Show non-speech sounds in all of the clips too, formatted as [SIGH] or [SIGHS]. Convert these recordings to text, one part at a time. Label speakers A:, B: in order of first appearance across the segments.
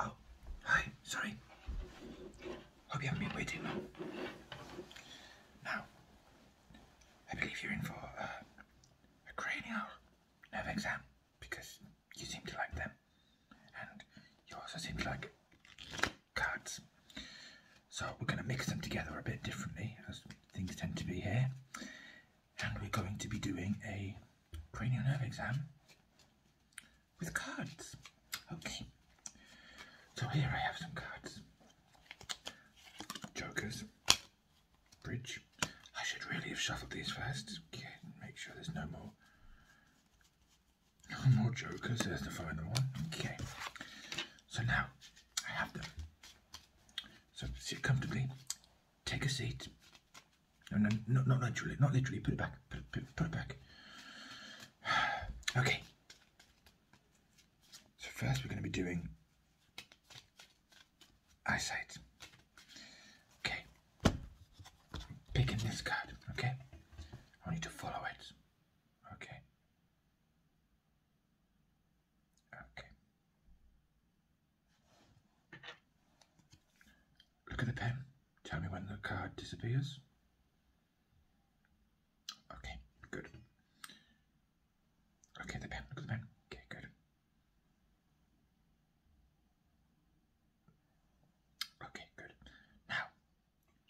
A: Oh, hi, sorry. Hope you haven't been waiting Now, I believe you're in for uh, a cranial nerve exam because you seem to like them and you also seem to like cards. So, we're going to mix them together a bit differently as things tend to be here and we're going to be doing a cranial nerve exam with cards. Okay, so here I have some cards. Jokers, bridge. I should really have shuffled these first. Okay, make sure there's no more, no more jokers. There's the final one. Okay, so now I have them. So sit comfortably, Take a seat. No, no, not, literally. Not literally. Put it back. Put, it back. [SIGHS] okay. So first we're going to be doing eyesight. Okay. picking this card. Okay. I need to follow it. Okay. Okay. Look at the pen. Tell me when the card disappears. Okay, good. Okay, the pen. Look at the pen. Okay, good. Okay, good. Now,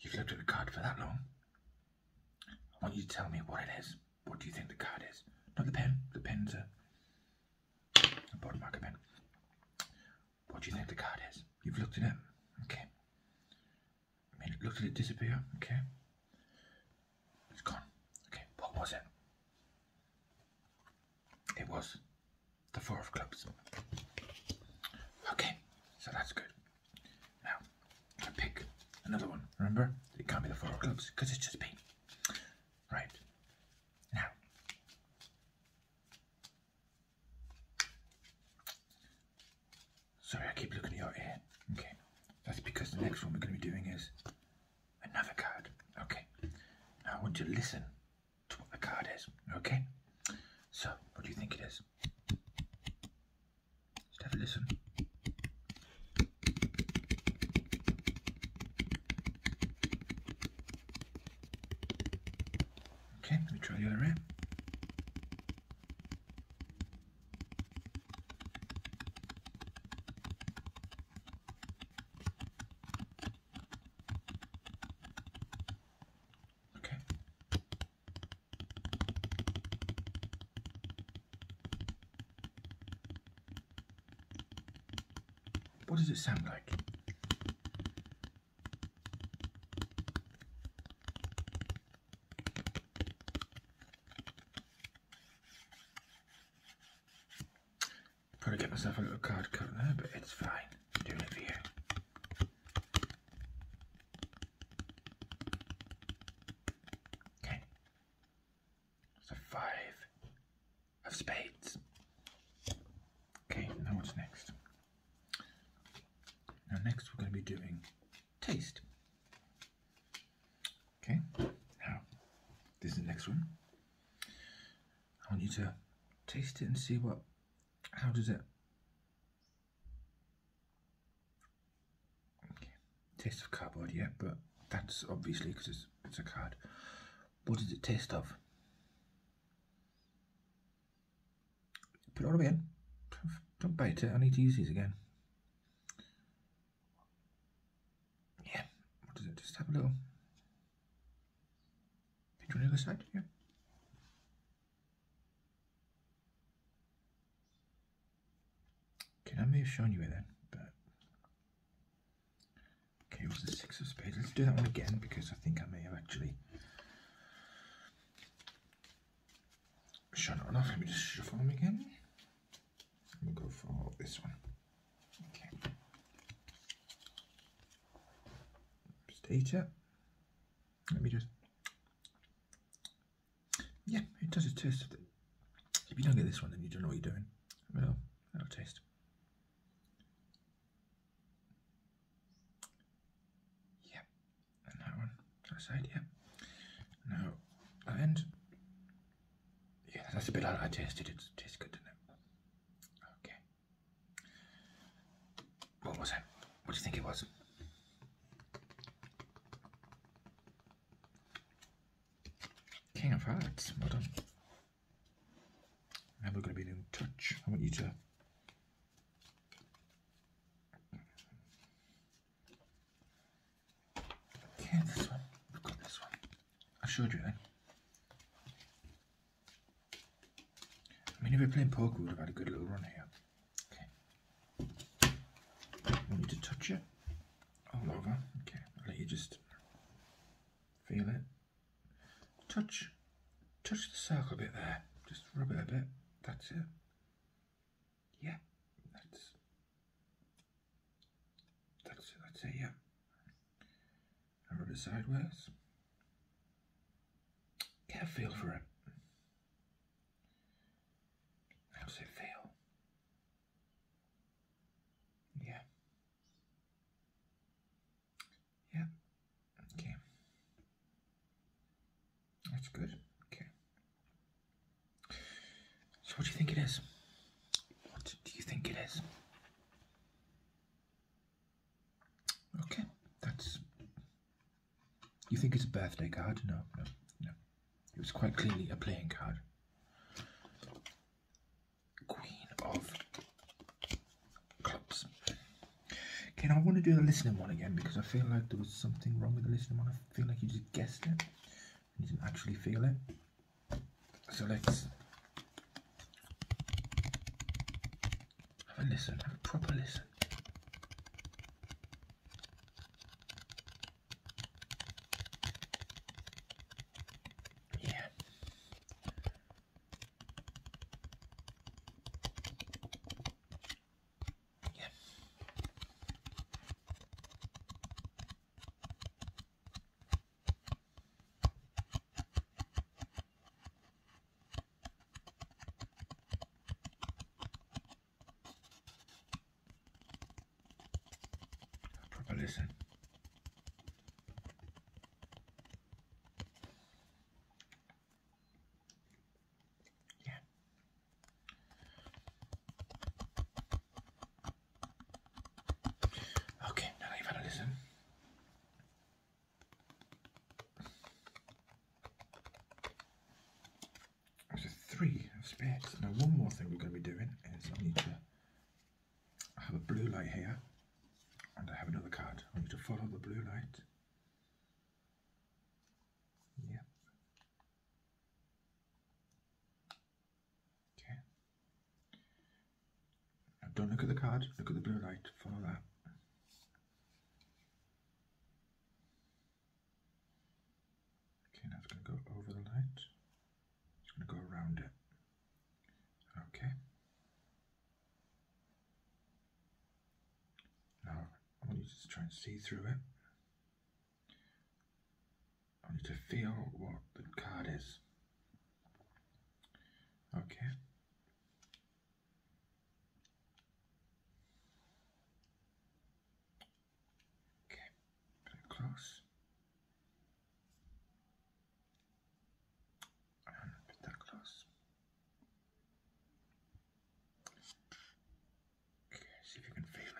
A: you've looked at the card for that long. I want you to tell me what it is. What do you think the card is? Not the pen. The pen's are a bottom marker pen. What do you think the card is? You've looked at it. Okay. I mean, looked at it disappear. Okay. It's gone. Okay. What was it? It was the four of clubs. Okay. So that's good. Now, I pick another one. Remember, it can't be the four of clubs because it's just been Right. Now, sorry, I keep looking at your ear. Okay, that's because the next one we're going to be doing is another card. Okay, now I want you to listen to what the card is. Okay, so what do you think it is? Just have a listen. Okay, let me try the other end. Okay. What does it sound like? got get myself a little card coat but it's fine. doing it for you. Okay. So five of spades. Okay, now what's next? Now next we're going to be doing taste. Okay, now this is the next one. I want you to taste it and see what, how does it Taste of cardboard, yet, but that's obviously because it's, a card. What does it taste of? Put it all away in. Don't bite it, I need to use these again. Yeah, what does it? Just have a little pinch on the other side, yeah. Okay, I may have shown you it then, but okay, what's the six of spades. Let's do that one again because I think I may have actually shown it enough. Let me just shuffle them again. We'll go for this one. Okay. Just eat it. Let me just yeah, it does a taste If you don't get this one, then you don't know what you're doing. Well, that'll taste. Yeah, and that one, that side, yeah. Now, that Yeah, that's a bit like I tasted. It tastes good, didn't it? Okay. What was it? What do you think it was? King of Hearts, well done. Now we're going to be in touch. I want you to Okay, this one. We've this one. I showed you then. I mean, if we're playing poker, we'd have had a good little run here. Okay. I need to touch it all oh, over. Okay, I'll let you just feel it. Touch, touch the circle a bit there. Just rub it a bit. That's it. Yeah, that's that's it. That's it. Yeah. rub it sideways. Get a feel for it. How does it feel? Yeah. Yeah. Okay. That's good. Okay. So, what do you think it is? What do you think it is? Okay, that's you think it's a birthday card? No, no, no. It was quite clearly a playing card. Queen of Clubs. Okay, I want to do the listening one again because I feel like there was something wrong with the listening one. I feel like you just guessed it. You didn't actually feel it. So let's have a listen, have a proper listen. Yeah. Yeah. Proper listen. Yeah. Okay, now I've had a listen. There's a three of spades. Now one more thing we're going to be doing is I need to have a blue light here and I have another card. I need to follow the blue light. Yep. Okay. don't look at the card, look at the blue light, follow that. Okay, now it's going to go over the light. It's going to go around it. Okay. Now, I want you to try and see through it. I want you to feel what the card is. Okay. Okay, very close. And a bit that close. Okay, see if you can feel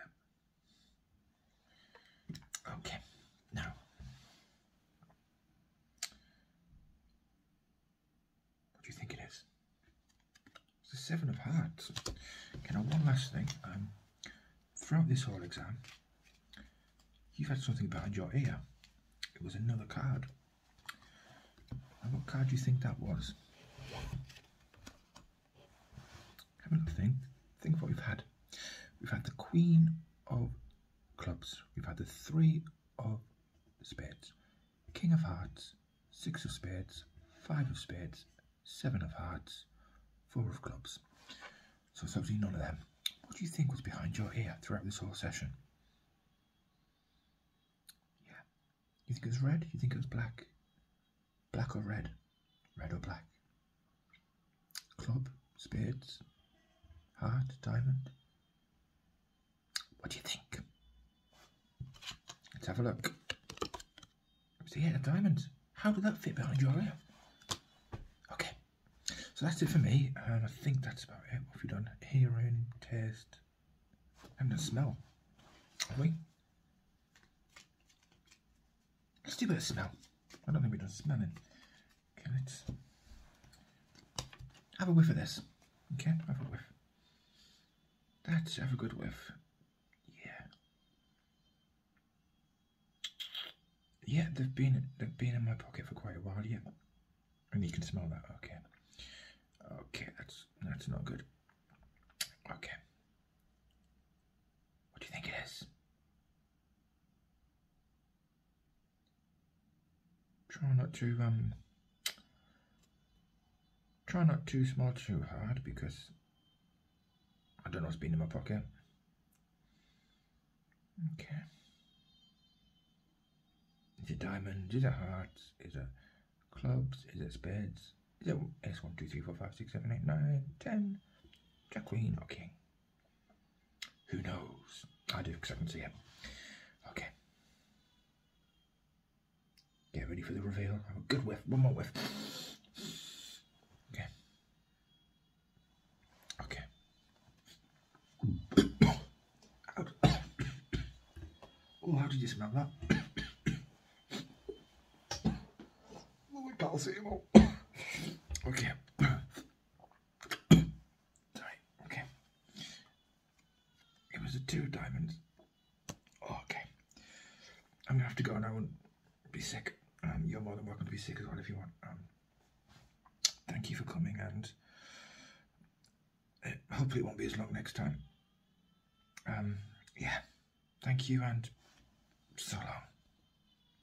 A: it. Okay, now what do you think it is? It's the Seven of Hearts. Okay, now one last thing. Um, throughout this whole exam, you've had something behind your ear. It was another card. And what card do you think that was? Have a little thing. Think of what we've had. We've had the Queen of Clubs. We've had the Three of spades, king of hearts, six of spades, five of spades, seven of hearts, four of clubs. So it's absolutely none of them. What do you think was behind your ear throughout this whole session? Yeah. You think it was red? You think it was black? Black or red? Red or black? Club, spades, heart, diamond, what do you think? Let's have a look. See, yeah, the diamonds. How did that fit behind your ear? Okay, so that's it for me, and I think that's about it. What have you Hear Hearing, taste, and the smell. Have we? Let's do a bit of smell. I don't think we've done smelling. Good. Have a whiff of this. Okay, have a whiff. That's have a good whiff. Yeah. Yeah, they've been they've been in my pocket for quite a while, yeah. And you can smell that, okay. Okay, that's that's not good. Okay. What do you think it is? Try not to um try not too small too hard because I don't know what's been in my pocket. Okay. Is it diamond? Is it hearts? Is it clubs? Is it spades? Is it S1, 2, 3, 4, 5, 6, 7, 8, 9, 10? Jack, queen, or king? Who knows? I do because I can see him. Okay. Get ready for the reveal. Have a good whiff. One more whiff. Okay. Okay. [COUGHS] oh, how did you smell that? [COUGHS] oh, I can't see him all. okay. Sorry, okay. It was a two diamonds. Oh, okay. I'm gonna have to go and I won't be sick. Um, you're more than welcome to be sick as well if you want. Um, thank you for coming and uh, hopefully it won't be as long next time. Um, yeah, thank you and so long.